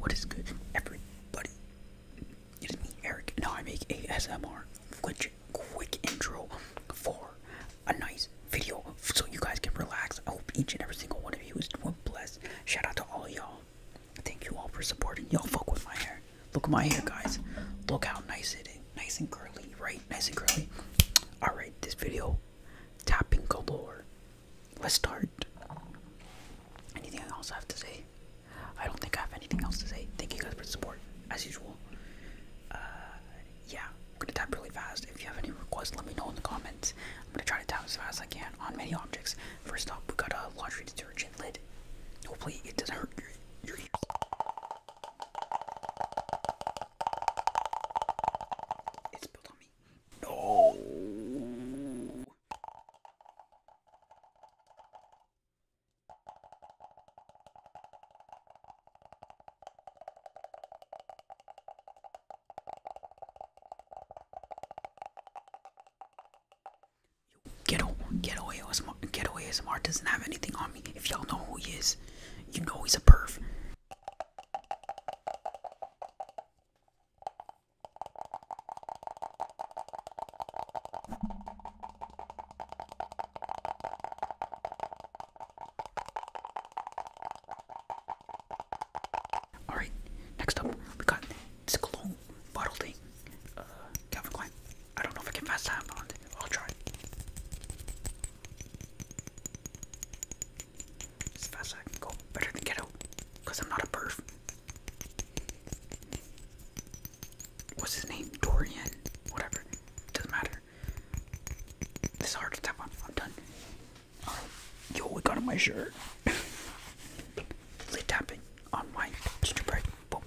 What is good, everybody? It is me, Eric. Now I make ASMR quick, quick intro for a nice video so you guys can relax. I hope each and every single one of you is doing blessed. Shout out to all y'all. Thank you all for supporting. Y'all fuck with my hair. Look at my hair, guys. Look how nice it is. Nice and curly, right? Nice and curly. Alright, this video, tapping galore let's start. Anything else I have to say? I don't think I have anything else to say. Thank you guys for the support, as usual. Uh, yeah, I'm gonna tap really fast. If you have any requests, let me know in the comments. I'm gonna try to tap as fast as I can on many objects. First up, we got a laundry detergent lid. Hopefully, it doesn't hurt your, your It's spilled me. No. Ghetto, ghetto ASMR, ghetto ASMR doesn't have anything on me. If y'all know who he is, you know he's a perv. All right, next up we got this cologne bottle thing. Uh, Calvin Klein. I don't know if I can fast time on it. I'll try. As fast as I can go. Better than ghetto. Because I'm not a pervert. What's his name? Dorian? Whatever. Doesn't matter. This hard to tap on. I'm done. yo, we got my shirt. Lid tapping on my gingerbread boba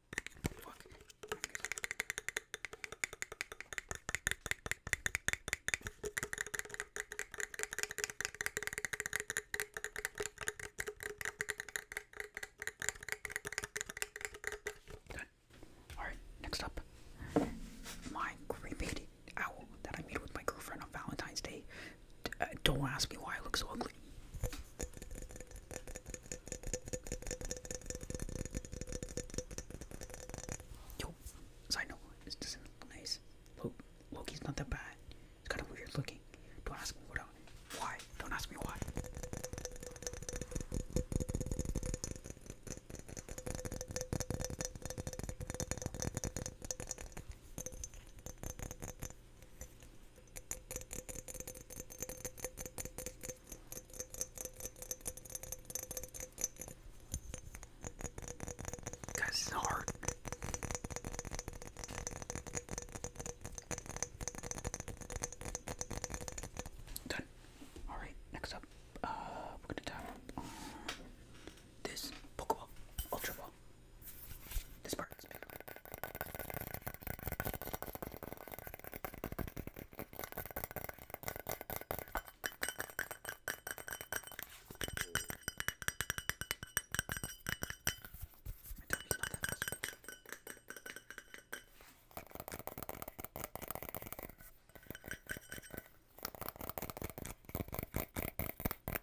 Alright, next up. My cremated owl that I made with my girlfriend on Valentine's Day. Uh, don't ask me why I look so ugly. Yo, side note, this doesn't look nice. Look, Loki's not that bad. It's kind of weird looking. Don't ask me why. Don't ask me why. Guys, hard. Done. All right. Next up, uh, we're gonna tap on this Pokeball, Ultra Ball. This part is big. My tummy's not that fast.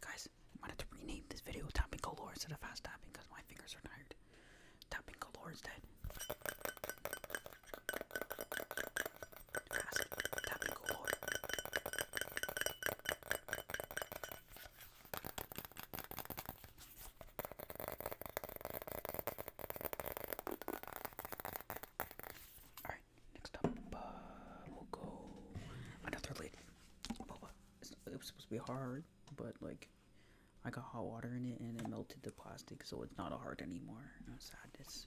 Guys, I'm gonna rename this video Tapping Galore instead of Fast Tapping because my fingers are tired. Tapping Galore is dead. Alright, next up, uh, we'll go another lid it was supposed to be hard, but like I got hot water in it and it melted the plastic, so it's not hard anymore. sadness.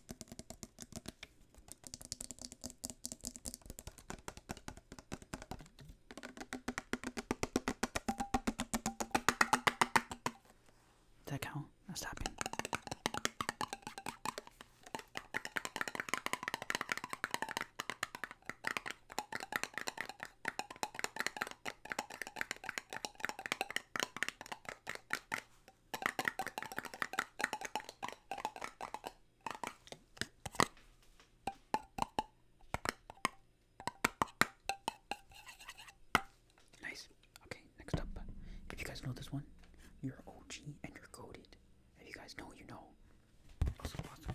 that count? That's tapping. Nice. Okay, next up. If you guys know this one, you're OG and you're goaded. If you guys know, you know. Also, awesome.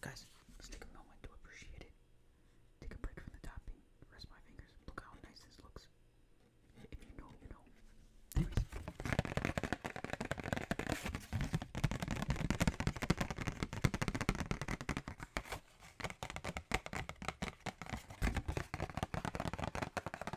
Guys, let's take a moment to appreciate it. Take a break from the topping. Rest my fingers. Look how nice this looks. If you know, you know. Anyways.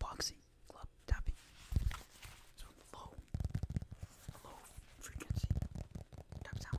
Boxing club tapping. So low, low frequency tap sound.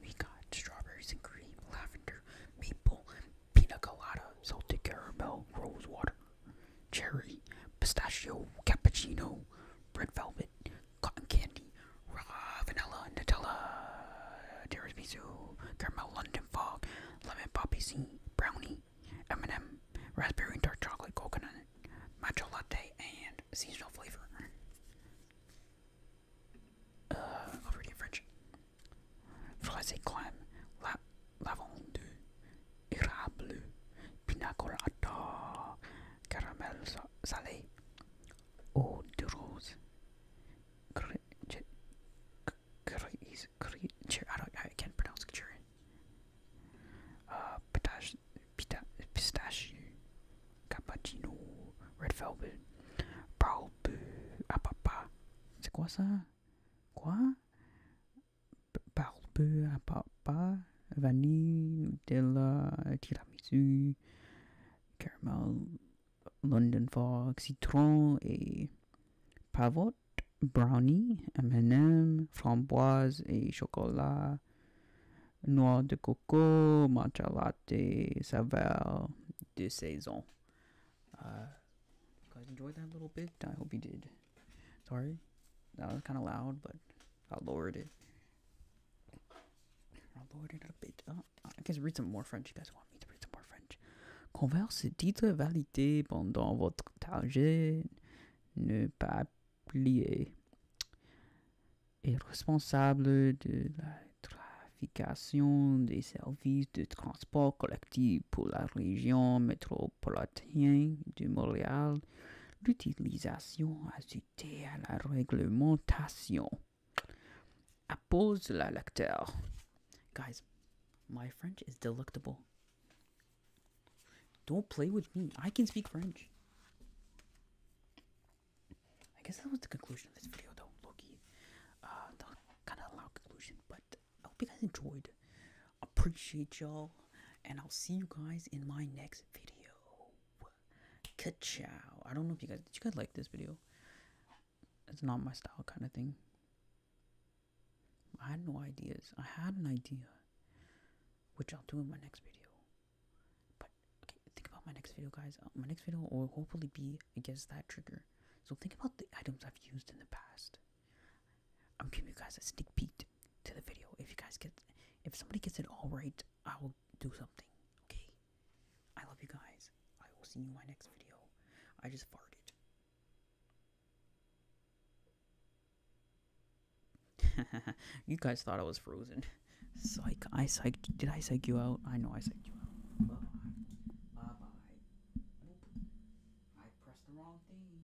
We got strawberries and cream, lavender, maple, pina colada, salted caramel, rose water, cherry, pistachio, cappuccino, red velvet, cotton candy, vanilla, Nutella, tiramisu, caramel, London fog, lemon poppy seed, brownie, M&M, raspberry dark chocolate, coconut, matcha latte, and seasonal flavor. Uh, over in French. Froissé crème, la lavande, érable, pinacolata, caramel salé, eau de rose, cre I don't I can't pronounce cherry. Uh, pistach pita pistachio, cappuccino, red velvet, barbe ah, à papa. C'est quoi ça? barbe à papa, vanille, Nutella, tiramisu, caramel, London Fog, citron et pavot, brownie, M&M, framboise et chocolat, noix de coco, matcha latte, saveur de saison. Uh, you guys enjoyed that little bit? I hope you did. Sorry, that was kind of loud, but I lowered it. I lowered it a bit. Oh, I guess read some more French. You guys want me to read some more French? Converse titre validé pendant votre trajet. Ne pas plier. responsable de la trafication des services de transport collectif pour la région métro aux de Montréal l'utilisation ajoutée à la réglementation oppose la lecteur. Guys, my French is delectable. Don't play with me. I can speak French. I guess that was the conclusion of this video, though, Loki. Uh, the kind of loud conclusion, but I hope you guys enjoyed appreciate y'all, and I'll see you guys in my next video. ka I don't know if you guys did you guys like this video. It's not my style kind of thing. I had no ideas. I had an idea, which I'll do in my next video. But okay, think about my next video, guys. Uh, my next video will hopefully be against that trigger. So think about the items I've used in the past. I'm giving you guys a sneak peek to the video. If you guys get, if somebody gets it all right, I will do something. Okay. I love you guys. I will see you in my next video. I just farted. you guys thought I was frozen. Psych. I psych. Did I psych you out? I know I psyched you out. Bye bye. Bye bye. I pressed the wrong thing.